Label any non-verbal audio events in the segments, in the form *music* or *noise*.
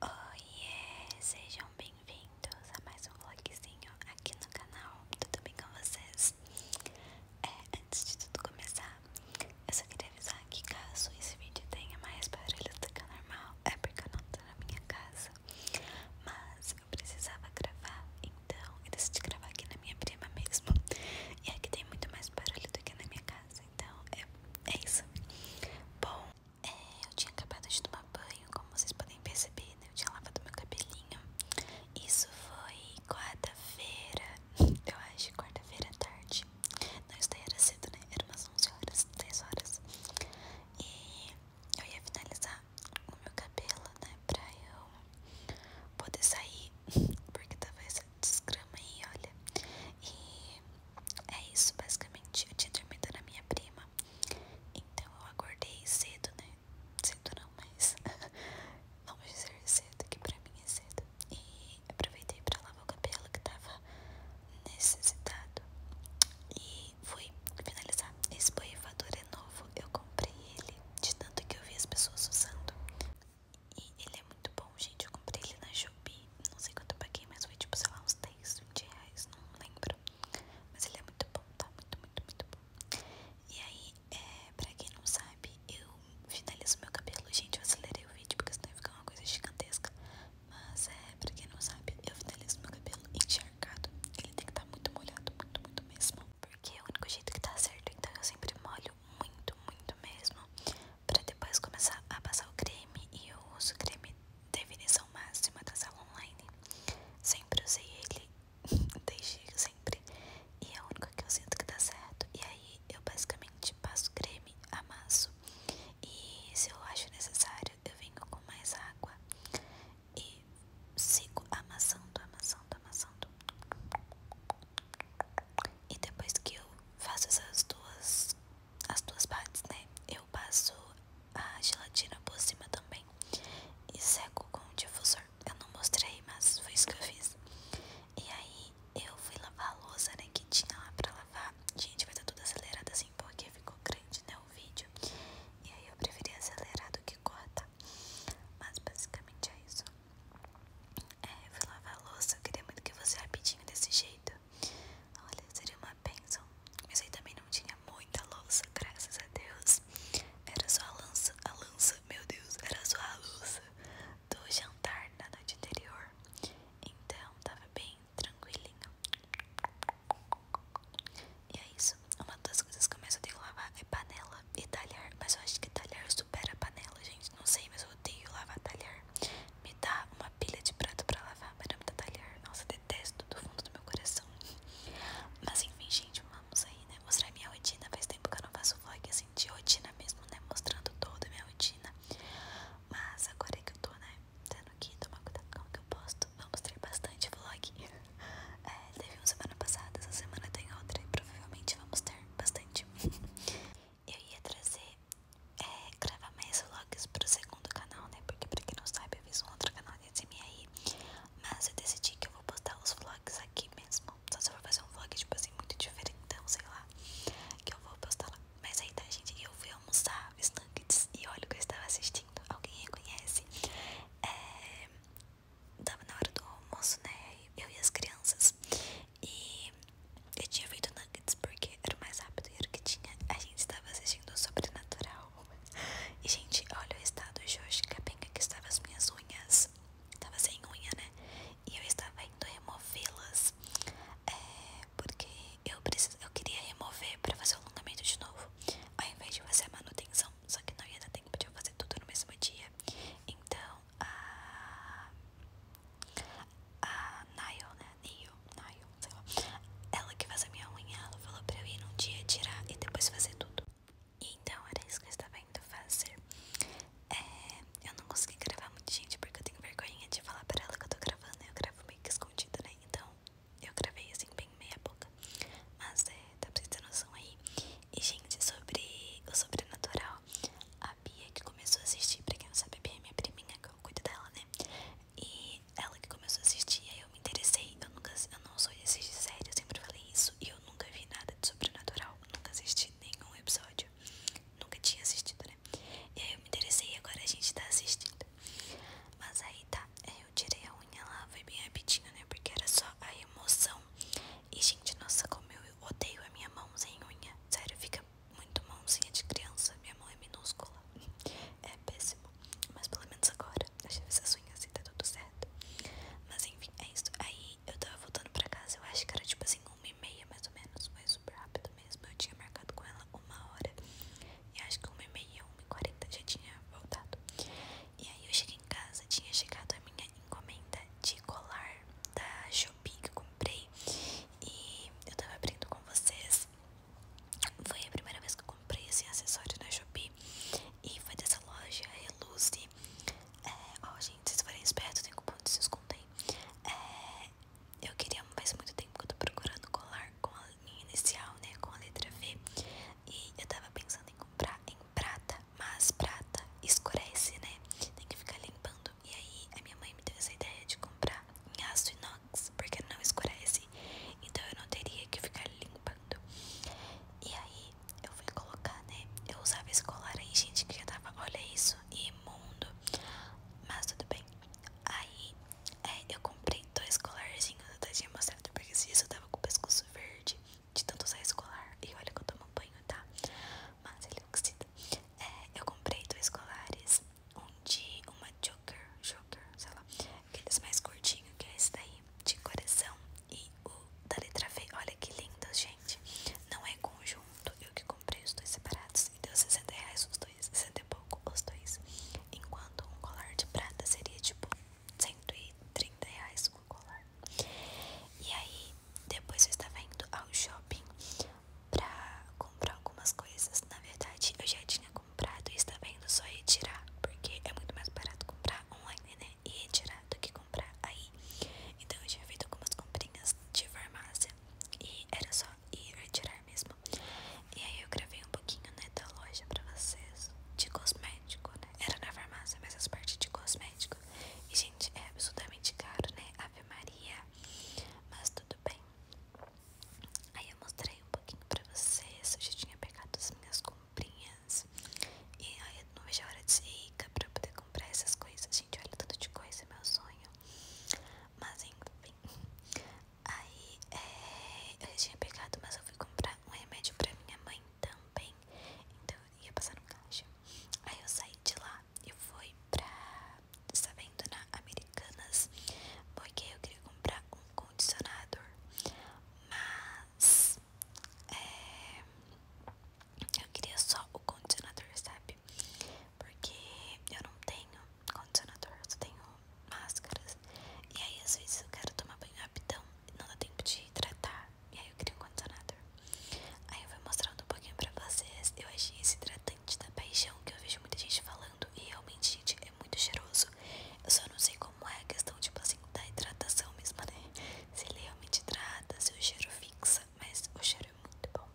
Oiê, sejam bem-vindos a mais um vlogzinho aqui no canal, tudo bem com vocês? É, antes de tudo começar, eu só queria avisar que caso esse vídeo tenha mais barulho do que o normal, é porque eu não tô na minha casa, mas eu precisava gravar, então eu decidi gravar aqui na minha prima mesmo, e aqui tem muito mais barulho do que na minha casa, então é, é isso. Bom, é, eu tinha acabado de tomar banho, como vocês podem perceber, né? Eu tinha lavado meu cabelinho. Isso foi quarta-feira, *laughs* eu acho, quarta-feira à tarde. Não, isso daí era cedo, né? Era umas 11 horas, 10 horas. E eu ia finalizar o meu cabelo, né? Pra eu poder sair, *laughs* porque tava essa desgrama aí, olha. E é isso, basicamente. Eu tinha dormido na minha prima. Então eu acordei cedo, né? Cedo não, mas *laughs* vamos dizer cedo, que pra mim é cedo. E aproveitei pra lavar o cabelo que tava necessitado. E fui finalizar. Esse borrifador é novo. Eu comprei ele de tanto que eu vi as pessoas usando. E ele é muito bom gente. Eu comprei ele na Shopee. Não sei quanto eu paguei, mas foi tipo, sei lá, uns 10, 20 reais. Não lembro. Mas ele é muito bom, tá? Muito, muito, muito bom. E aí, é, pra quem não sabe, eu finalizo meu cabelo. Gente, eu acelerei o vídeo porque senão ia ficar uma coisa gigantesca. Mas é, pra quem não sabe, eu finalizo meu cabelo encharcado. Ele tem que estar tá muito molhado, muito, muito mesmo. Porque é o único jeito que tá certo. Então eu sempre molho muito, muito mesmo para depois começar a passar o creme e eu uso o creme definição máxima da sala online. Sempre usei ele *laughs* desde sempre e é o único que eu sinto que dá certo. E aí eu basicamente passo creme, amasso e se eu acho necessário eu venho com mais água e sigo amassando, amassando, amassando. E depois que eu faço essas duas as duas partes, né? Eu passo a gelatina por cima também e seco com o difusor. Eu não mostrei, mas foi isso que eu fiz. E aí eu fui lavar a louça, né? Que tinha lá pra lavar. Gente, vai estar tá tudo acelerado assim porque ficou grande, né? O vídeo. E aí eu preferi acelerar do que cortar. Mas basicamente é isso. É, eu fui lavar a louça. Eu queria muito que fosse rapidinho desse jeito. Olha, seria uma bênção. Mas aí também não tinha muita louça, graças a Deus. Era só a lança, a lança, meu Deus, era só a louça do jantar na noite anterior. Então tava bem tranquilinho. E é isso. Uma das coisas que eu mais odeio lavar é panela e talher. Mas eu acho que talher supera panela, gente. Não sei, mas eu odeio lavar talher. Me dá uma pilha de prato pra lavar, madame talher, Nossa, detesto do fundo do meu coração. Mas enfim, gente, vamos aí, né? Mostrar minha rotina. Faz tempo que eu não faço vlog assim de rotina mesmo, né? Mostrando toda a minha rotina. Mas agora é que eu tô, né? Tendo que tomar cuidado com o que eu posto. vamos ter bastante vlog. É, teve uma semana passada, essa semana tem outra e provavelmente vamos ter bastante. *laughs* eu ia trazer, é, gravar mais vlogs pro segundo canal, né? Porque pra quem não sabe, eu fiz um outro canal de aí, mas eu decidi que eu vou postar os vlogs aqui mesmo. Só se eu vou fazer um vlog, tipo assim, muito diferente, então sei lá, que eu vou postar lá. Mas aí tá, gente, eu fui almoçar os nuggets e olha o que eu estava assistindo. Alguém reconhece? É... Tava na hora do almoço, né? Eu e as crianças. E eu tinha feito nuggets porque era mais rápido e era o que tinha. A gente estava assistindo o Sobrenatural. E, gente, olha o estado de hoje que capenga que estavam as minhas unhas. estava sem unha, né? E eu estava indo removê-las. É, porque eu, precis... eu queria remover pra fazer o alongamento de novo. Ao invés de fazer a manutenção. Só que não ia dar tempo de eu fazer tudo no mesmo dia. Então, a. A Nile, né? Neil, Nail, sei Ela que faz a minha unha, ela falou pra eu ir num dia tirar e depois fazer tudo. então era isso que eu estava indo fazer. É, eu não consegui gravar muita gente, porque eu tenho vergonha de falar pra ela que eu tô gravando. Eu gravo meio que escondida, né? Então eu gravei assim, bem meia boca. Mas é, dá pra vocês terem noção aí. E, gente, sobre o sobrenatural, a Bia que começou a assistir, pra quem não sabe, a Bia é minha priminha, que eu cuido dela, né? E ela que começou a assistir, aí eu me interessei, eu nunca, eu não sou de assistir série, eu sempre falei isso, e eu nunca vi nada de sobrenatural, nunca assisti nenhum episódio, nunca tinha assistido, né? E aí eu me interessei e agora a gente tá assistindo. Mas aí tá, é, eu tirei a unha lá, foi bem rapidinho, né? Porque era só a emoção. E gente, nossa, como eu odeio a minha mão sem unha. Sério, fica muito mãozinha de criança, minha mão é minúscula, é péssimo, mas pelo menos agora eu já fiz as unhas e tá tudo certo. Mas enfim, é isso. Aí eu tava voltando pra casa, eu acho que era tipo assim, uma e meia mais ou menos, foi super rápido mesmo. Eu tinha marcado com ela uma hora e acho que uma e meia, uma e quarenta já tinha voltado. E aí eu cheguei em casa, tinha chegado a minha encomenda de colar da Shopee que eu comprei e eu tava abrindo com vocês. Foi a primeira vez que eu comprei assim, acessórios na Shopee e foi dessa loja Reluce. É, ó, gente, vocês forem espertos, tem cupom de desconto aí. É, eu queria, faz muito tempo que eu tô procurando colar com a minha inicial, né? Com a letra V. E eu tava pensando em comprar em prata, mas prata escurece, né? Tem que ficar limpando e aí a minha mãe me deu essa ideia de comprar em aço inox, porque não escurece, então eu não teria que ficar limpando. E aí eu fui colocar, né? Eu usava esse colar aí, gente, que já tava, olha isso, imundo. Mas tudo bem. Aí é, eu comprei dois colarzinhos, eu até tinha mostrado, porque se eu tava com o pescoço verde de tanto usar esse colar. E olha que eu tomo banho, tá? Mas ele é oxida. É, eu comprei dois colares um de uma joker, joker, sei lá, aqueles mais curtinhos que é esse daí, de coração e o da letra V. Olha que lindo, gente. Não é conjunto, eu que comprei os dois separados e deu 60 reais os dois, 60 e pouco os dois. Enquanto um colar de prata seria tipo 130 reais um colar. E aí, depois eu estava indo ao shopping pra comprar algumas coisas. Na verdade, eu já tinha comprado e está vendo só tirar porque é muito mais barato comprar online, né? E retirar do que comprar aí. Então, eu tinha feito algumas comprinhas de farmácia e era só ir retirar mesmo. E aí, eu gravei um pouquinho, né, da loja pra vocês de cosmético, né? Era na farmácia, mas as partes de cosmético. E, gente, é absolutamente caro, né? Ave Maria. Mas tudo tudo bem? Aí eu mostrei um pouquinho pra vocês, eu já tinha pegado as minhas comprinhas E aí eu não vejo a hora de ser rica pra poder comprar essas coisas Gente, olha tanto de coisa, é meu sonho Mas enfim Aí é, eu já tinha pegado, mas eu fui comprar um remédio pra minha mãe também Então eu ia passar no caixa Aí eu saí de lá e foi pra, sabendo, tá na Americanas, porque eu queria comprar um condicionador, mas é, eu queria só o condicionador, sabe? Porque eu não tenho condicionador, eu só tenho máscaras. E aí, às vezes, eu quero tomar banho rapidão, não dá tempo de hidratar. E aí, eu queria um condicionador. Aí, eu fui mostrando um pouquinho pra vocês. Eu achei esse hidratante interessante da paixão que eu vejo muita gente falando e realmente, gente, é muito cheiroso. Eu só não sei como é a questão, tipo assim, da hidratação mesmo, né? Se ele realmente hidrata, se o cheiro fixa, mas o cheiro é muito bom.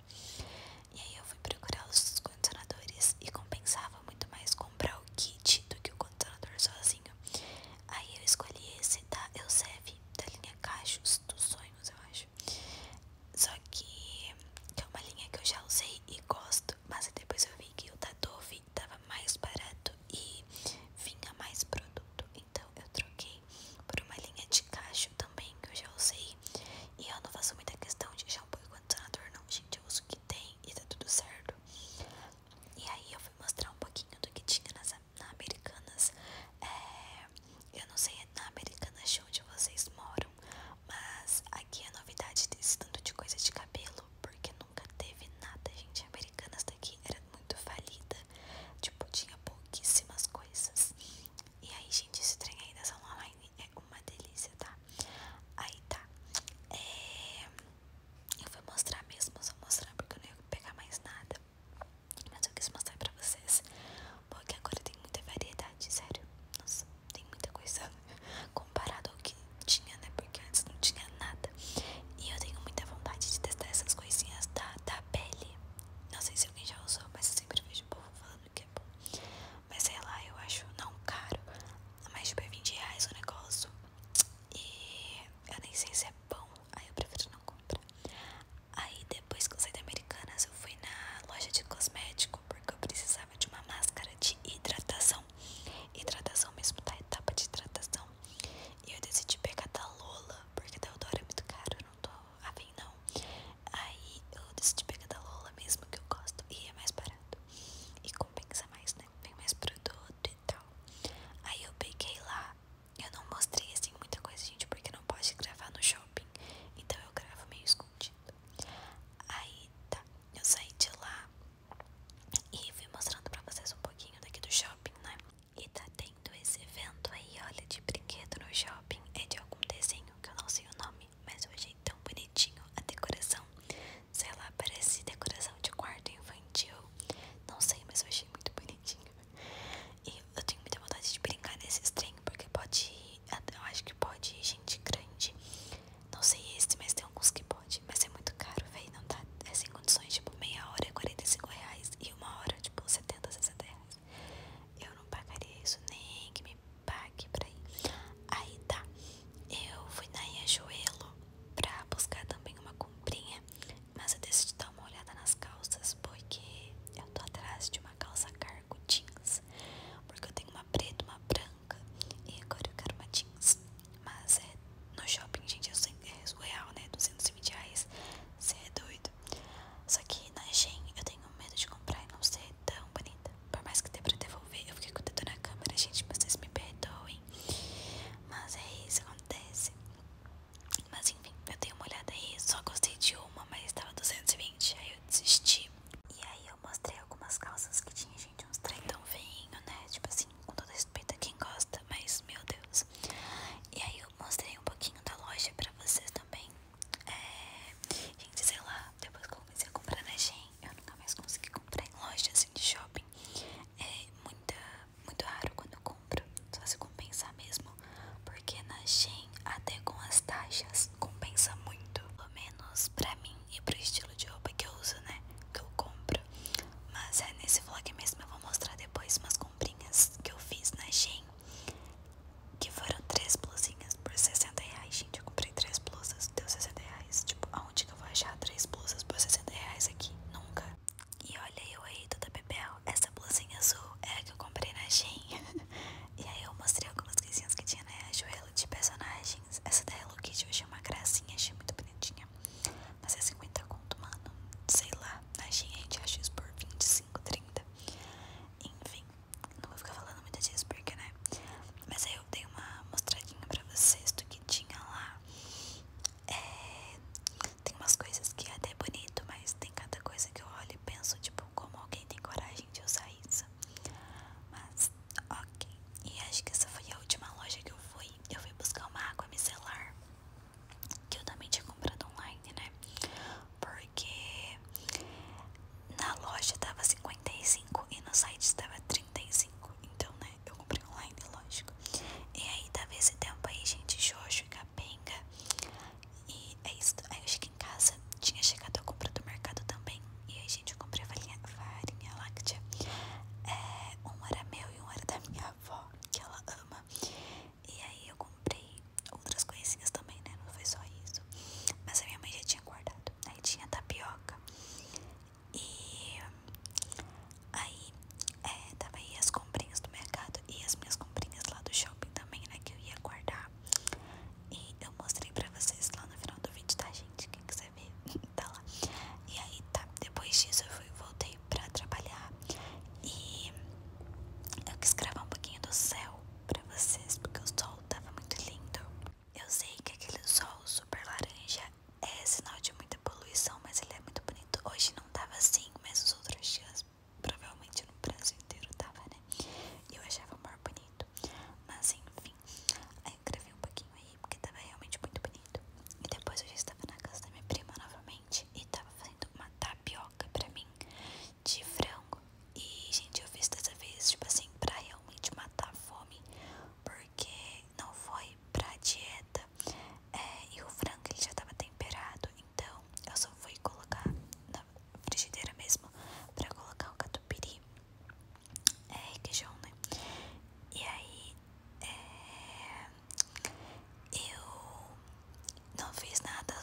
E aí eu fui procurar os condicionadores e compensava muito mais comprar o kit do que o condicionador sozinho. Aí eu escolhi esse da Elseve, da linha Cachos dos Sonhos, eu acho. Só que, é uma linha que eu já usei e gosto, mas depois eu vi que o da Dove tava mais barato e vinha mais produto. Então eu troquei por uma linha de cacho também que eu já usei. E eu não faço muita questão de shampoo e condicionador não, gente. Eu uso o que tem e tá tudo certo. E aí eu fui mostrar um pouquinho do que tinha nas na Americanas. É, eu não sei na Americana de onde vocês moram, mas aqui a novidade desse tanto de coisa de cabelo, porque nunca teve nada, gente. americana Americanas daqui era muito falida, tipo, tinha pouquíssimas coisas. E aí, gente, esse trem aí da Online é uma delícia, tá? Aí tá. É, eu vou mostrar mesmo, só mostrar porque eu não ia pegar mais nada. Mas eu quis mostrar pra vocês Porque agora tem muita variedade, sério Nossa, tem muita coisa *laughs* Comparado ao que tinha, né Porque antes não tinha nada E eu tenho muita vontade de testar essas coisinhas da, da pele Não sei se alguém já usou Mas eu sempre vejo o povo falando que é bom Mas sei lá, eu acho não caro é mais de 20 reais o negócio E eu nem sei se é bom Aí eu prefiro não comprar Aí depois que eu saí da Americanas eu fui na loja de cosmético porque eu precisava de uma máscara de hidratação. Hidratação mesmo, da tá? Etapa de hidratação. E eu decidi pegar da Lola, porque da Eudora é muito caro, eu não tô afim não. Aí eu decidi pegar da Lola mesmo que eu gosto e é mais barato. E compensa mais, né? vem mais produto e tal. Aí eu peguei lá. Eu não mostrei assim muita coisa, gente, porque não pode gravar no show então eu gravo meio escondido. Aí tá, eu saí de lá e fui mostrando pra vocês um pouquinho daqui do shopping, né? E tá tendo esse evento aí, olha, de brinquedo no shopping. É de algum desenho que eu não sei o nome, mas eu achei tão bonitinho a decoração. Sei lá, parece decoração de quarto infantil. Não sei, mas eu achei muito bonitinho. E eu tenho muita vontade de brincar nesse trem, porque pode ir, eu acho que pode ir gente grande. Não sei esse, mas tem alguns que pode. Mas é muito caro, velho. Não tá. É sem condições, tipo, meia hora é 45 reais e uma hora, tipo, 70, 60 reais. Eu não pagaria isso, nem que me pague pra ir. Aí tá. Eu fui na Riachuelo pra buscar também uma comprinha. Mas eu decidi dar uma olhada nas calças, porque tô atrás de uma calça cargo jeans, porque eu tenho uma preta, uma branca e agora eu quero uma jeans. Mas é no shopping, gente, é surreal, né? 220 reais, você é doido. Só que na Shein eu tenho medo de comprar e não ser tão bonita. Por mais que dê pra devolver, eu fiquei com o dedo na câmera, gente, vocês me perdoem. Mas é isso, acontece. Mas enfim, eu dei uma olhada aí, só gostei de uma, mas estava 220, aí eu desisti. E aí eu mostrei algumas calças que tinha, gente, uns trem tão feinho, né? Tipo assim, com todo respeito a quem gosta, mas meu Deus. E aí eu mostrei um pouquinho da loja pra vocês também. É. Gente, sei lá, depois que eu comecei a comprar na Shein, eu nunca mais consegui comprar em loja assim de shopping. É muita, muito raro quando eu compro compra. Só se compensar mesmo. Porque na Shein, até com as taxas, compensa muito. Pelo menos pra mim e pro estilo de roupa que eu uso, né? Que eu compro. Mas é nesse vlog mesmo eu vou mostrar depois umas comprinhas que eu fiz na Shein. Que foram três blusinhas por 60 reais, gente. Eu comprei três blusas, deu 60 reais. Tipo, aonde que eu vou achar três blusas por 60 reais aqui? Nunca. E olha eu aí favorito da Bebel. Essa blusinha azul é a que eu comprei na Shein. *laughs* e aí eu mostrei algumas coisinhas que tinha né? joelho de personagens. Essa da Hello Kitty eu achei uma gracinha, achei muito bonitinha. Mas é 50 conto, mano. Sei lá, na Shein a gente acha isso por 25, 30. Enfim, não vou ficar falando muito disso porque, né? Mas aí eu dei uma mostradinha pra vocês do que tinha lá. É... Tem umas coisas que é até é bonito, mas tem cada coisa que eu olho e penso, tipo, como alguém tem coragem de usar isso. Mas, ok. E acho que essa foi a última loja que eu fui. Eu fui buscar uma água micelar. Que eu também tinha comprado online, né? Porque na loja tava 55 e no site tava 35. Então, né? Eu comprei online, lógico. E aí tava esse tempo aí, gente, Jojo e Capenga. E é isso. Aí eu cheguei em casa, tinha chegado a compra do mercado também. E aí, gente, eu comprei farinha, farinha láctea. É, um era meu e um era da minha avó, que ela ama. E aí eu comprei outras coisinhas também, né? Não foi só isso. Mas a minha mãe já tinha guardado. Aí tinha tapioca. E aí é, tava aí as comprinhas do mercado e as minhas comprinhas lá do shopping também, né, que eu ia guardar. E eu mostrei pra vocês lá no final do vídeo, tá, gente? Quem quiser ver, *laughs* tá lá. E aí, tá, depois disso eu voltei pra trabalhar e eu quis gravar um pouquinho do céu pra vocês, porque o sol tava muito lindo. Eu sei que aquele sol super laranja é sinal de muita poluição, mas ele é muito bonito. Hoje não tava assim, mas os outros dias Provavelmente no prazo inteiro tava, né? E eu achava o maior bonito. Mas enfim, aí eu gravei um pouquinho aí, porque tava realmente muito bonito. E depois eu já estava na casa da minha prima novamente e tava fazendo uma tapioca pra mim de frango. E, gente, eu fiz dessa vez, tipo assim, pra realmente matar a fome. Porque não foi pra dieta. É, e o frango ele já tava temperado então eu só fui colocar na frigideira mesmo pra colocar o catupiry é, requeijão, né? E aí é, eu não fiz nada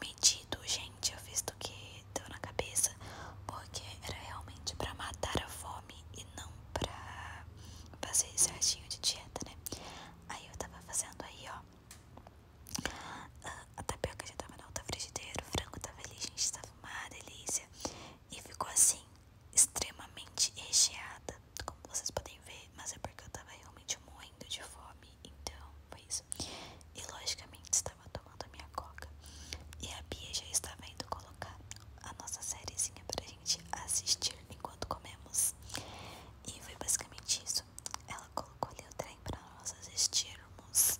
medido, gente. Eu fiz do que deu na cabeça, porque era realmente pra matar a fome e não pra fazer esse ratinho de dieta, né? Aí eu tava fazendo aí, ó. Ah, a tapioca já tava na outra frigideira, o frango tava ali, gente, tava uma delícia. E ficou assim, extremamente recheada, como vocês podem ver, mas é porque eu tava realmente moendo de fome, então foi isso. E logicamente estava tomando a minha coca. E a Bia já estava indo colocar a nossa sériezinha pra gente assistir enquanto comemos. E foi basicamente isso ela colocou ali o trem para nós assistirmos.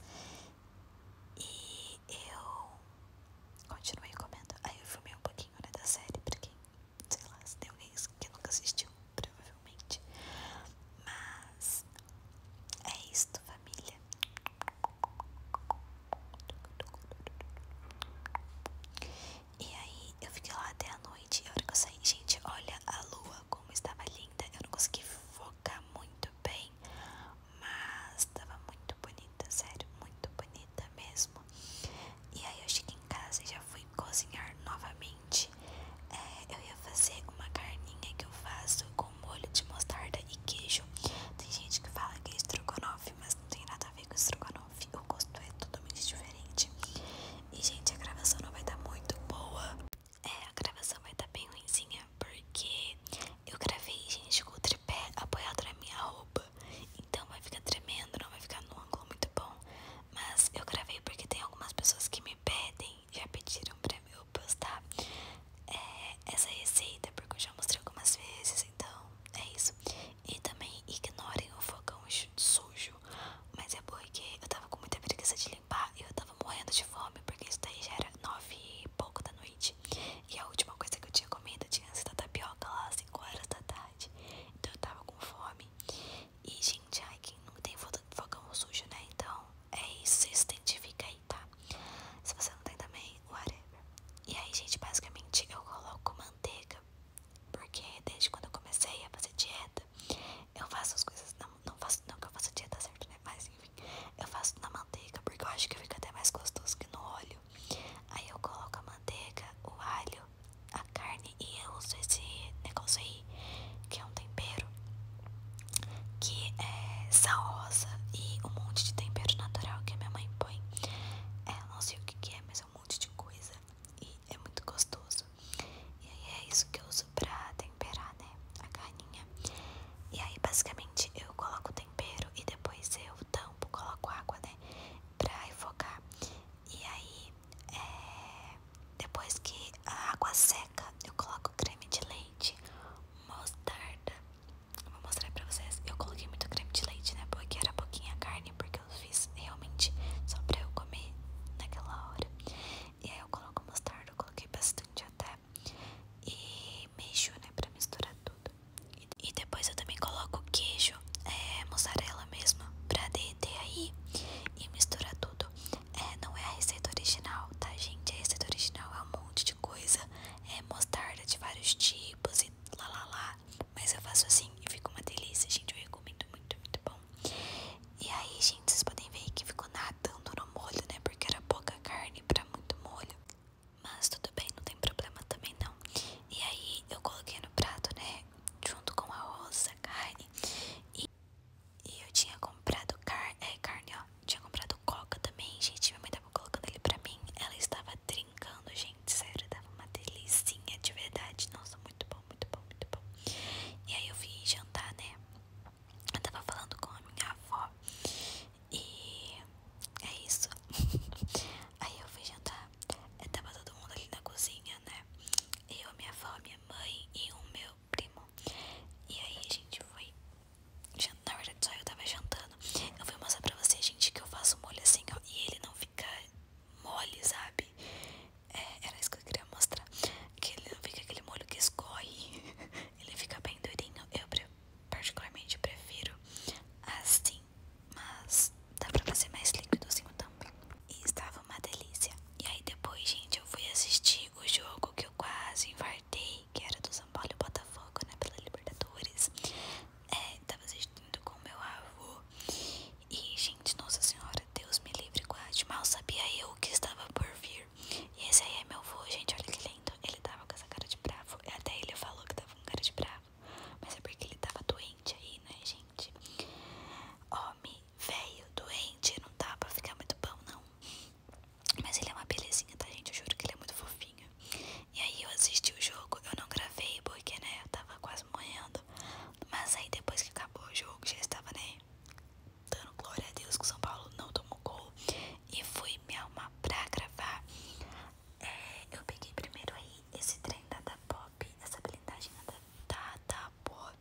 E eu continuei comendo. Aí eu filmei um pouquinho né, da série, pra quem, sei lá, se tem alguém que nunca assistiu, provavelmente. Mas é isso família. E aí eu fiquei lá até a noite e a hora que eu saí, gente, olha a lua como estava linda. Eu não consegui focar muito bem, mas estava muito bonita, sério, muito bonita mesmo. E aí eu cheguei em casa e já fui cozinhar novamente. É, eu ia fazer uma carninha que eu faço com molho de mostarda e queijo. Tem gente que fala que é estrogonofe, mas não tem nada a ver com estrogonofe. O gosto é totalmente diferente. E, gente, a gravação não vai dar muito boa. É, a gravação vai dar bem ruimzinha, porque eu gravei, gente, com o tripé apoiado na minha roupa. Então vai ficar tremendo, não vai ficar num ângulo muito bom. Mas eu gravei porque tem algumas pessoas que me pedem, já pediram pra eu postar é, essa receita, porque eu já mostrei algumas vezes, então é isso. E também ignorem o fogão sujo mas é porque eu tava com muita preguiça de limpar e eu tava morrendo de fome, porque isso daí já era nove e pouco da noite. E a última coisa que eu tinha comido tinha sido a tapioca lá cinco horas da tarde. Então eu tava com fome. E, gente, ai, quem não tem fogão sujo, né? Então é isso, se identifica aí, tá? Se você não tem também, whatever. E aí, gente, basicamente eu coloco manteiga porque desde quando eu comecei a fazer dieta, eu faço as coisas. Não, não faço não que eu faço dieta certo, né? Mas enfim, eu faço na manteiga, porque eu acho que fica até mais gostoso que no óleo. Aí eu coloco a manteiga, o alho, a carne e eu uso esse negócio aí, que é um tempero, que é saosa e um monte de tempero natural que a minha mãe põe. eu é, não sei o que é, mas é um monte de coisa. E é muito gostoso. E aí é isso que eu uso pra temperar, né? A carninha. E aí basicamente eu coloco o tempero e depois eu tampo, coloco água, né? Pra enfocar. E aí é, depois que a água seca, eu coloco creme de leite, mostarda. vou mostrar pra vocês. Eu coloquei muito creme de leite, né? Porque era pouquinha carne, porque eu fiz realmente só pra eu comer naquela hora. E aí eu coloco mostarda, eu coloquei bastante até. E mexo, né, pra misturar tudo. E, depois eu também coloco queijo, é, mussarela mesmo, pra derreter aí e misturar tudo. É, não é a receita original, tá, gente? A receita original é um monte de coisa. É mostarda de vários tipos e lá lá lá. Mas eu faço assim e fica uma delícia, gente. Eu recomendo muito, muito bom. E aí, gente, vocês podem ver que ficou nadando no molho, né? Porque era pouca carne pra muito molho. Mas tudo bem, não tem problema também não. E aí eu coloquei no prato, né? Junto com a rosa carne. E, eu tinha comprado car é, carne, ó. Tinha comprado coca também, gente. Minha mãe tava colocando ele pra mim. Ela estava trincando, gente. Sério, tava uma delícia, de verdade. Nossa, muito bom muito bom, muito bom. E aí eu vim jantar, né? Eu tava falando com a minha avó. E é isso. *laughs* aí eu fui jantar. Eu eh, tava todo mundo ali na cozinha, né? Eu, minha avó, minha mãe e o meu primo. E aí a gente foi. Na hora de só eu tava jantando. Eu vou mostrar pra vocês, gente, que eu faço molho assim ó, e ele não fica mole, sabe? É, era isso que eu queria mostrar. Que ele não fica aquele molho que escorre. *laughs* Ele fica bem durinho. Eu, particularmente, prefiro assim. Mas dá pra fazer mais líquidozinho também. E estava uma delícia. E aí, depois, gente, eu fui assistir o jogo que eu quase infartei. Que era do São Paulo e Botafogo, né? Pela Libertadores. estava é, assistindo com meu avô. E, gente, Nossa Senhora, Deus me livre, guarde. Mal sabia eu que estava por vir. E esse aí é meu avô, gente, olha que lindo. Ele tava com essa cara de bravo. Até ele falou que tava com cara de bravo. Mas é porque ele tava doente aí, né, gente? Homem, velho, doente, não dá pra ficar muito bom, não. Mas ele é uma belezinha, tá, gente? Eu juro que ele é muito fofinho. E aí eu assisti o jogo, eu não gravei porque, né, eu tava quase morrendo. Mas aí depois que acabou o jogo, já estava, né? Dando glória a Deus que o São Paulo não tomou gol. E fui me arrumar pra gravar. É, eu peguei primeiro aí esse trem da Da Pop, essa blindagem da Da, da Pop.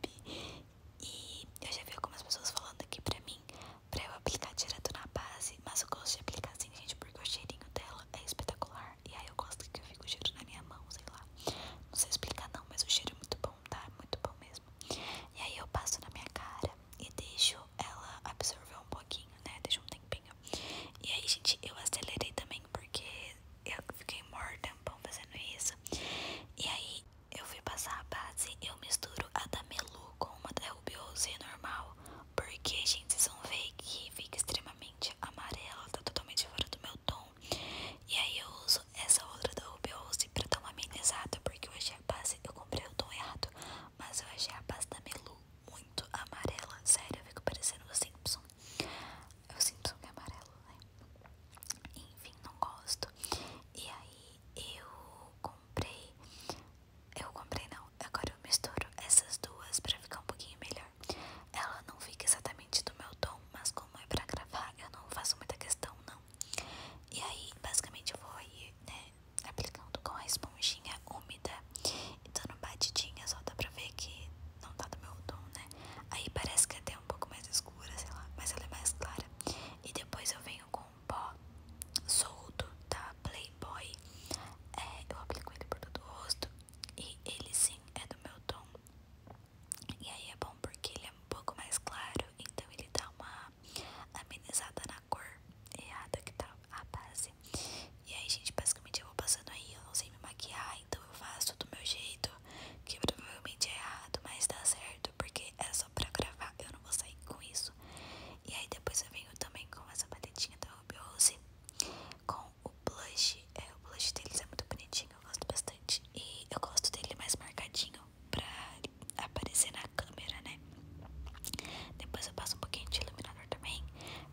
E eu já vi algumas pessoas falando aqui pra mim pra eu aplicar direto na base. Mas eu gosto de aplicar assim, gente, porque o cheirinho dela é espetacular. E aí eu gosto que eu fico o cheiro na minha mão, sei lá. Não sei explicar não, mas o cheiro é muito bom, tá? Muito bom mesmo. E aí eu passo na minha cara e deixo ela absorver um pouquinho, né? Deixa um tempinho. E aí, gente, eu acelerei também porque eu fiquei morta um fazendo isso. E aí eu fui passar a base, eu misturo a da Melu com uma da Rubiose é normal. Porque, gente, vocês vão ver que fica extremamente amarela, tá totalmente fora do meu tom. E aí eu uso essa outra da Ruby Rose pra dar uma amenizada, porque eu achei a base, eu comprei o tom errado, mas eu achei a base da Melu muito amarela, sério, eu fico parecendo o Simpson. O Simpson é amarelo, né? Enfim, não gosto. E aí eu comprei, eu comprei não, agora eu misturo essas duas pra ficar um pouquinho melhor. Ela não fica exatamente do meu tom, mas como é pra gravar, eu não faço muita questão, não. E aí, basicamente, eu vou aí, né, aplicando com a esponjinha úmida e dando batidinha só dá pra ver que não tá do meu tom, né? Aí parece que é até um pouco mais escura, sei lá, mas ela é mais clara. E depois eu venho com um pó solto da tá, Playboy. É, eu aplico ele por todo o rosto e ele sim é do meu tom. E aí é bom porque ele é um pouco mais claro, então ele dá uma amenizada na cor errada que tá a base. E aí, gente, basicamente eu vou passando aí, eu não sei me maquiar, então eu faço do meu jeito, que provavelmente é errado, mas dá certo, porque é só pra gravar, eu não vou sair com isso. E aí depois eu venho também com essa batidinha da Ruby Rose, com o blush, é, o blush deles é muito bonitinho, eu gosto bastante. E eu gosto dele mais marcadinho pra aparecer na câmera, né? Depois eu passo um pouquinho de iluminador também.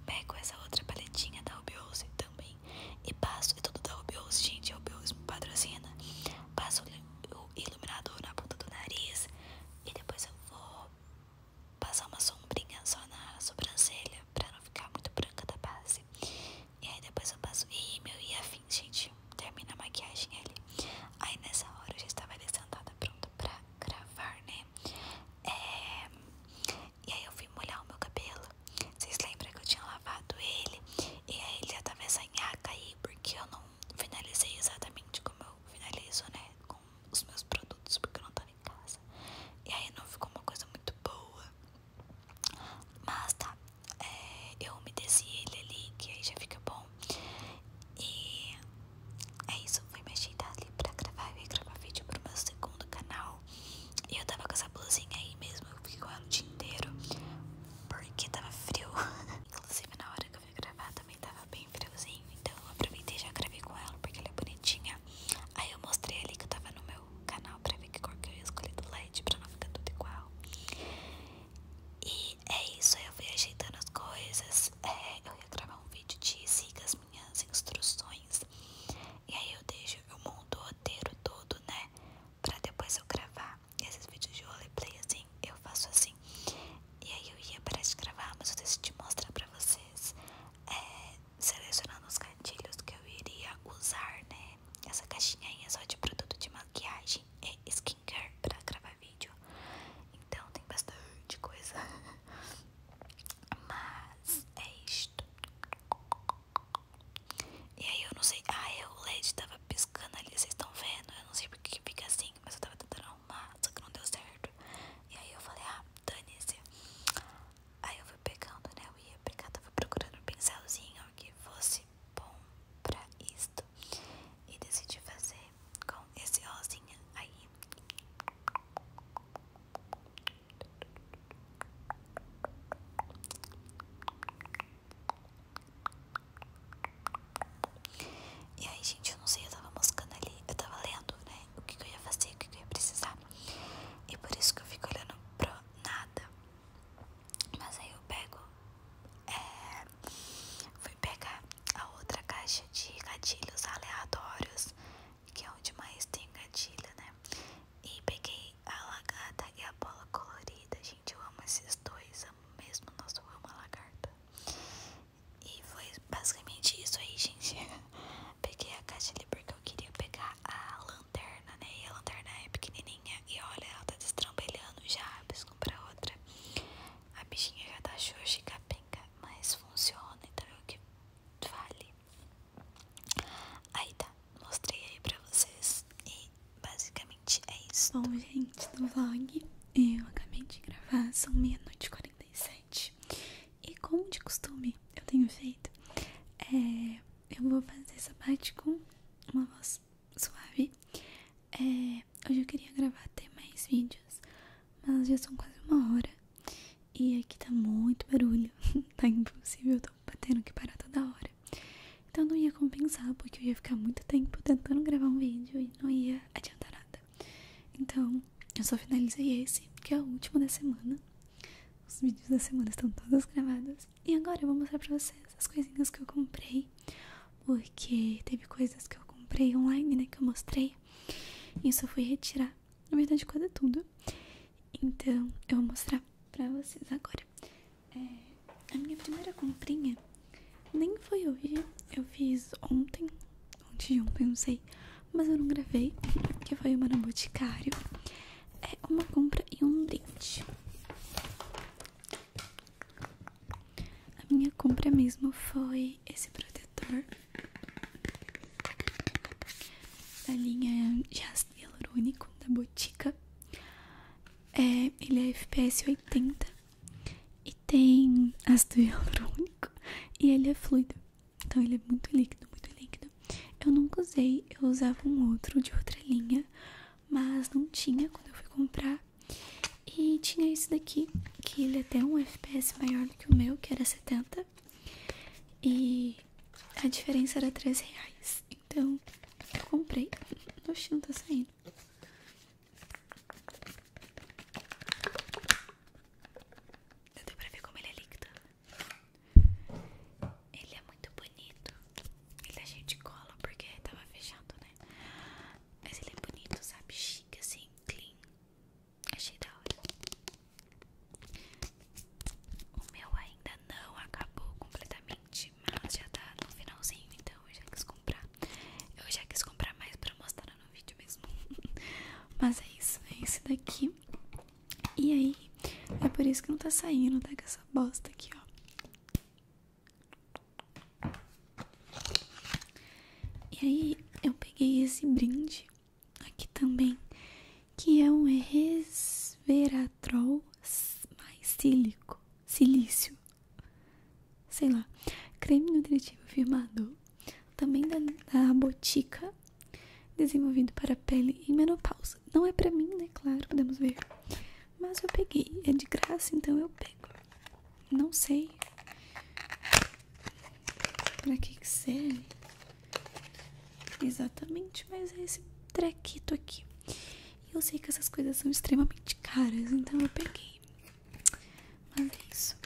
Pego essa outra paletinha da Ruby também. E passo, e tudo da Ruby gente, a Ruby me patrocina. Passo o iluminador na ponta do nariz. E depois eu vou passar uma sombrinha só na sobrancelha pra não ficar muito branca da base. E aí depois eu passo rímel e a fim gente. Termina a maquiagem ali. Aí nessa hora eu já estava ali sentada pronta pra gravar, né? É, e aí eu fui molhar o meu cabelo. Vocês lembram que eu tinha lavado ele? E aí ele já tava essa nhaca aí, porque eu não finalizei exatamente como eu finalizo, né? Com os meus produtos, porque eu não tô em casa. E aí não ficou uma coisa muito boa. Mas tá, é, eu umedeci ele ali, que aí já fica bom. E é isso, fui me ajeitar ali pra gravar. Eu gravar vídeo pro meu segundo canal. E eu tava com essa blusinha aí mesmo, eu fiquei com ela o dia inteiro. Porque tava frio. *laughs* Inclusive na hora que eu fui gravar também tava bem friozinho. Então eu aproveitei e já gravei com ela porque ela é bonitinha. Aí eu mostrei ali que tava no meu o canal pra ver que cor que eu ia escolher do LED pra não ficar tudo igual. E é isso, eu fui ajeitando as coisas. É, eu ia gravar um vídeo de siga as minhas instruções. E aí eu deixo, eu monto o roteiro todo, né? Pra depois eu gravar. esses vídeos de roleplay assim, eu faço assim. E aí eu ia parar de gravar, mas eu decidi mostrar pra vocês. É, selecionando os gatilhos que eu iria usar, né? Essa caixinha aí é só de produto de maquiagem e skincare pra gravar vídeo. Então tem bastante coisa. *laughs* Mas é isto. E aí eu não sei. Ah, é, o LED tava piscando ali, vocês estão vendo? Eu não sei porque que fica assim, mas eu tava tentando arrumar, só que não deu certo. E aí eu falei, ah, dane Aí eu fui pegando, né? Eu ia pegar, tava procurando um pincelzinho que fosse bom pra isso E decidi fazer com esse rosinha aí. E aí, gente, eu não sei, eu tava moscando ali, eu tava lendo, né? O que, eu ia fazer, o que eu ia precisar. E por isso que eu fico olhando pro nada. Mas aí eu pego. É, fui pegar a outra caixa de gatilhos aleatórios, que é onde mais tem gatilho, né? E peguei a lagarta e a bola colorida. Gente, eu amo esses dois. Amo mesmo, nossa, eu amo a lagarta. E foi basicamente isso aí, gente. *laughs* Peguei a caixa ali porque eu queria pegar a lanterna, né? E a lanterna é pequenininha e olha, ela tá destrambelhando já. preciso comprar outra. A bichinha já tá xoxa e capenga, mas funciona, então é o que vale. Aí tá, mostrei aí pra vocês e basicamente é isso. Bom, gente, do vlog eu acabei de gravar, são meia-noite e 46. E como de costume eu tenho feito, é, eu vou fazer essa parte com uma voz suave. É, hoje eu queria gravar até mais vídeos, mas já são quase uma hora. E aqui tá muito barulho, *laughs* tá impossível, eu tô batendo que parar toda hora. Então não ia compensar, porque eu ia ficar muito tempo tentando gravar um vídeo e não ia adiantar nada. Então eu só finalizei esse, que é o último da semana. Os vídeos da semana estão todos gravados. E agora eu vou mostrar pra vocês as coisinhas que eu comprei. Porque teve coisas que eu comprei online, né? Que eu mostrei. E eu só fui retirar. Na verdade, é tudo. Então, eu vou mostrar pra vocês agora. É, a minha primeira comprinha nem foi hoje. Eu fiz ontem. Ontem de ontem, não sei mas eu não gravei, que foi uma no boticário. É uma compra e um dente. A minha compra mesmo foi esse protetor da linha Jazz Hialurônico da Botica. É, ele é FPS 80 e tem ácido hialurônico e ele é fluido. Então ele é muito líquido, muito líquido. Eu nunca usei, eu usava um outro de outra linha, mas não tinha quando eu fui comprar. E tinha esse daqui, que ele é até um FPS maior do que o meu, que era 70. E a diferença era 3 reais. Então eu comprei. Oxi, não tá saindo. Não deu pra ver como ele é líquido. Ele é muito bonito. Ele é gente cola porque tava fechado, né? Mas ele é bonito, sabe? Chique, assim, clean. Achei da hora. O meu ainda não acabou completamente, mas já tá no finalzinho, então eu já quis comprar. Eu já quis comprar mais pra mostrar no vídeo mesmo. *laughs* mas é isso, é esse daqui. E aí, é por isso que não tá saindo, tá? Com essa bosta aqui, ó. E aí, eu peguei esse brinde aqui também, que é um resveratrol mais sílico, silício, sei lá, creme nutritivo firmador também da, da Botica, desenvolvido para pele em menopausa. Não é pra mim, né? Claro, podemos ver. Mas eu peguei, é de graça, então eu pego. Não sei pra que, que serve exatamente, mas é esse trequito aqui. E eu sei que essas coisas são extremamente caras, então eu peguei. Mas é isso.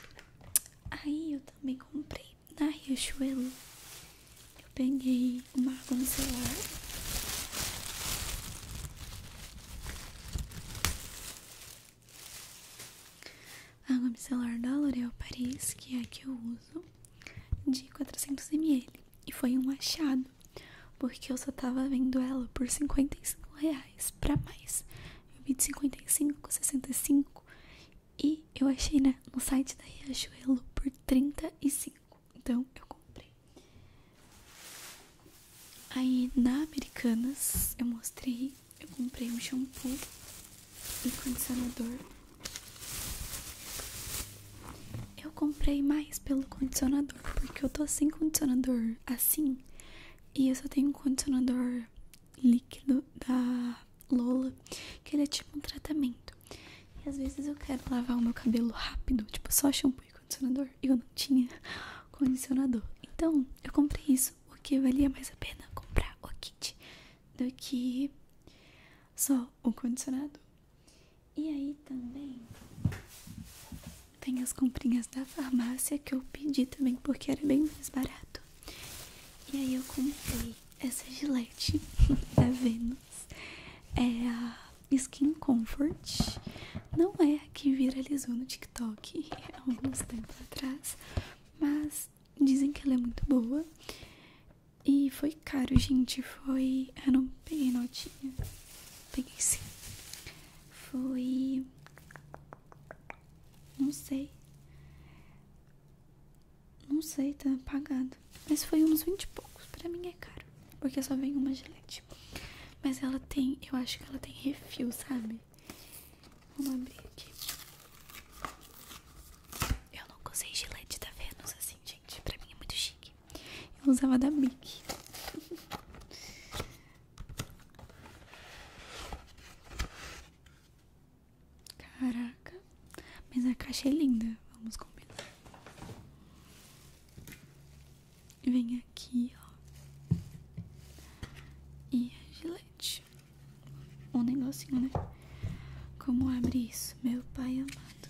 Aí eu também comprei na Riachuelo, eu peguei uma água micelar. A água micelar da L'Oréal Paris, que é a que eu uso, de 400ml. E foi um achado, porque eu só tava vendo ela por 55 reais pra mais. Eu vi de 55, 65 e eu achei, né, no site da Riachuelo por 35. Então eu comprei. Aí na Americanas eu mostrei, eu comprei um shampoo e condicionador. Eu comprei mais pelo condicionador, porque eu tô sem condicionador assim. E eu só tenho um condicionador líquido da Lola, que ele é tipo um tratamento. E às vezes eu quero lavar o meu cabelo rápido, tipo só shampoo e condicionador. e Eu não tinha *laughs* condicionador. Então eu comprei isso, o que valia mais a pena comprar o kit do que só o condicionador. E aí também tem as comprinhas da farmácia que eu pedi também, porque era bem mais barato. E aí eu comprei essa gilete *laughs* da Venus. É a Skin Comfort. Não é a que viralizou no TikTok *laughs* há alguns tempos atrás. Mas dizem que ela é muito boa. E foi caro, gente. Foi. Eu não peguei notinha. Peguei sim. Foi. Não sei. Não sei, tá apagado. Mas foi uns 20 e poucos. Pra mim é caro. Porque só vem uma gilete. Mas ela tem, eu acho que ela tem refil, sabe? Vamos abrir aqui. Eu nunca usei gilete da Vênus assim, gente. Pra mim é muito chique. Eu usava da Bic. *laughs* Caraca. Mas a caixa é linda. Vamos combinar. Vem aqui, ó. E a gilete. Um negocinho, né? Como abrir isso, meu pai amado?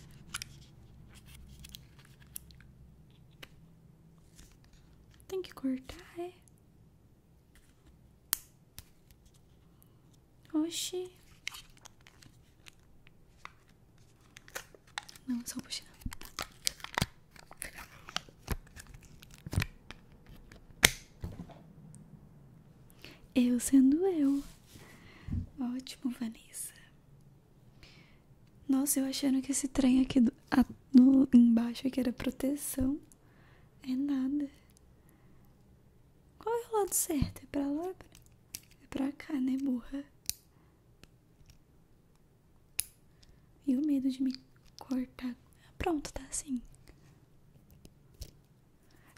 Tem que cortar, é? Oxi. Não, só puxar. Eu sendo eu. Ótimo, Vanessa. Nossa, eu achando que esse trem aqui do, embaixo aqui era proteção. É nada. Qual é o lado certo? É pra lá? É, é pra cá, né, burra? E o medo de me cortar. Pronto, tá assim.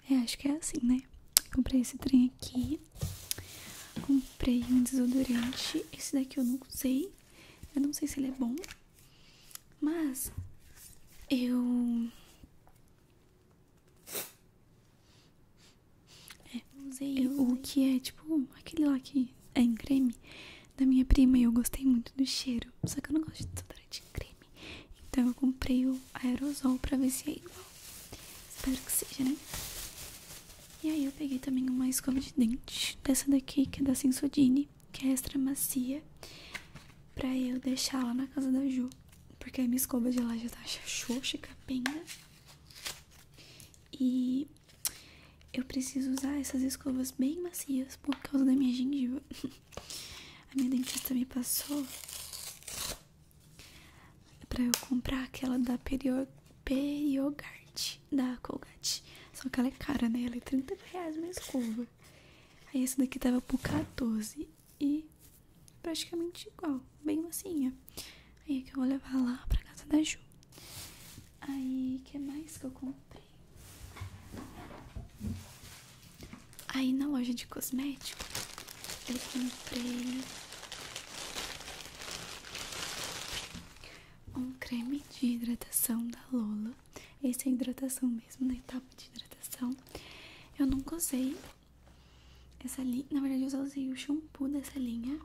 É, acho que é assim, né? Comprei esse trem aqui. Comprei um desodorante. Esse daqui eu não usei. Eu não sei se ele é bom. Mas eu é, o que é tipo aquele lá que é em creme da minha prima e eu gostei muito do cheiro. Só que eu não gosto de desodorante de creme. Então eu comprei o aerosol pra ver se é igual. Espero que seja, né? E aí eu peguei também uma escova de dente dessa daqui que é da Sensodyne que é extra macia, pra eu deixar lá na casa da Ju. Porque a minha escova de lá já tá xoxa e capenga. E eu preciso usar essas escovas bem macias por causa da minha gengiva. *laughs* A minha dentista me passou pra eu comprar aquela da Perio... Periogard, da Colgate. Só que ela é cara, né? Ela é 30 reais uma escova. Aí essa daqui tava por 14 e praticamente igual, bem mocinha Aí é que eu vou levar lá pra casa da Ju. Aí, que mais que eu comprei? Aí na loja de cosméticos eu comprei um creme de hidratação da Lola. Esse é hidratação mesmo, na né? etapa de hidratação. Eu nunca usei essa linha. Na verdade, eu só usei o shampoo dessa linha.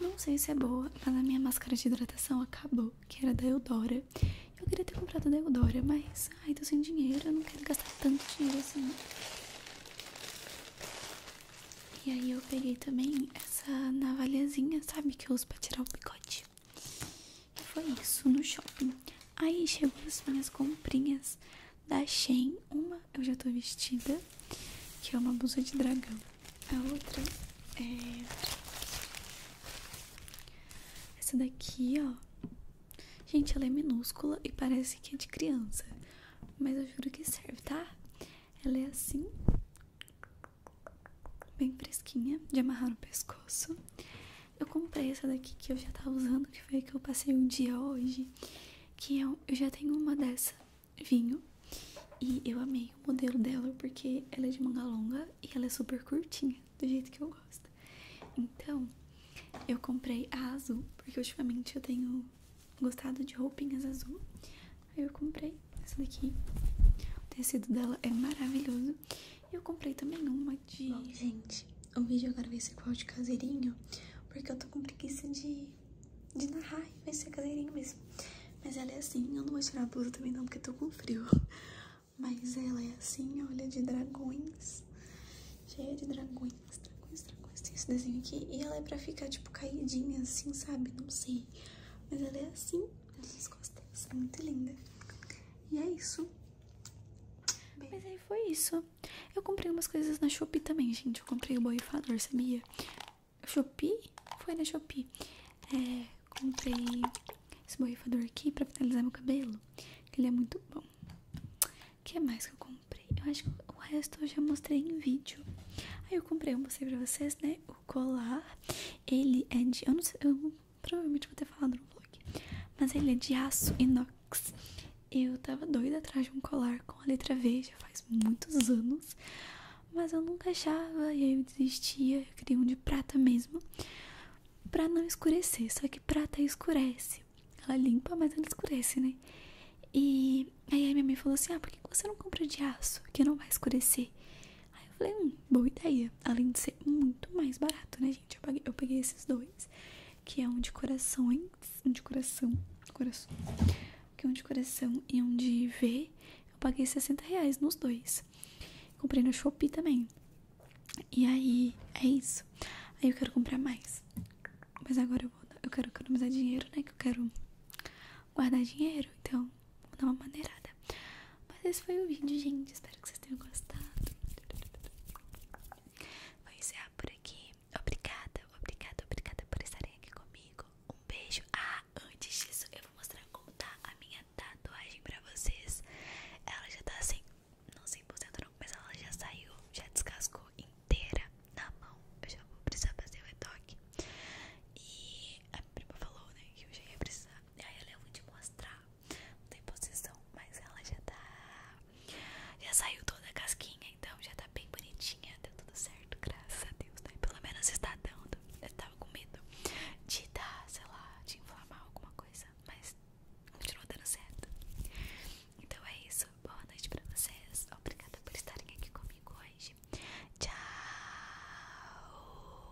Não sei se é boa, mas a minha máscara de hidratação acabou, que era da Eudora. Eu queria ter comprado da Eudora, mas ai, tô sem dinheiro, eu não quero gastar tanto dinheiro assim. E aí eu peguei também essa navalhazinha, sabe, que eu uso pra tirar o picote. E foi isso no shopping. Aí chegou as minhas comprinhas da Shein. Uma eu já tô vestida, que é uma blusa de dragão. A outra é. Essa daqui, ó. Gente, ela é minúscula e parece que é de criança. Mas eu juro que serve, tá? Ela é assim, bem fresquinha, de amarrar no pescoço. Eu comprei essa daqui que eu já tava usando, que foi que eu passei um dia hoje. Que é eu já tenho uma dessa, vinho. E eu amei o modelo dela porque ela é de manga longa e ela é super curtinha, do jeito que eu gosto. Então, eu comprei a azul, porque ultimamente eu tenho gostado de roupinhas azul. Aí eu comprei essa daqui. O tecido dela é maravilhoso. Eu comprei também uma de. gente, o vídeo agora vai ser qual de caseirinho, porque eu tô com preguiça de, de narrar e vai ser caseirinho mesmo. Mas ela é assim, eu não vou tirar a blusa também não, porque eu tô com frio. Mas ela é assim, olha, de dragões. Cheia de dragões, dragões, dragões. Tem esse desenho aqui. E ela é pra ficar, tipo, caidinha assim, sabe? Não sei. Mas ela é assim nas minhas costas. Tá muito linda. E é isso. Mas aí foi isso. Eu comprei umas coisas na Shopee também, gente. Eu comprei o borrifador, sabia? Shopee? Foi na Shopee. É, comprei esse borrifador aqui pra finalizar meu cabelo. ele é muito bom. O que mais que eu comprei? Eu acho que o resto eu já mostrei em vídeo. Aí eu comprei, eu mostrei pra vocês, né? O colar. Ele é de. Eu não sei provavelmente vou ter falado no vlog. Mas ele é de aço inox. Eu tava doida atrás de um colar com a letra V já faz muitos anos. Mas eu nunca achava e aí eu desistia. Eu queria um de prata mesmo. Pra não escurecer. Só que prata escurece. Ela limpa, mas ela escurece, né? E aí a minha mãe falou assim: Ah, por que você não compra de aço? Que não vai escurecer. Aí eu falei, hum, boa ideia. Além de ser muito mais barato, né, gente? Eu peguei, eu peguei esses dois, que é um de corações, um de coração, coração, que é um de coração e um de ver Eu paguei 60 reais nos dois. Comprei no Shopee também. E aí, é isso. Aí eu quero comprar mais. Mas agora eu vou, eu quero economizar dinheiro, né? Que eu quero guardar dinheiro, então Vou uma maneirada. Mas esse foi o vídeo, gente. Espero que vocês tenham gostado. Vou encerrar por aqui. Obrigada, obrigada, obrigada por estarem aqui comigo. Um beijo. Ah, antes disso, eu vou mostrar como tá a minha tatuagem pra vocês. Ela já tá assim, não 100% não, mas ela já saiu, já descascou inteira na mão. Eu já vou precisar fazer o retoque. E a prima falou, né, que eu já ia precisar. Aí ela, eu vou te mostrar não tem posição, mas ela já tá. Já saiu toda a casquinha, então já tá bem bonitinha. Deu tudo certo, graças a Deus, né? Pelo menos está dando. Eu tava com medo de dar, sei lá, de inflamar alguma coisa, mas continuou dando certo. Então é isso. Boa noite pra vocês. Obrigada por estarem aqui comigo hoje. Tchau!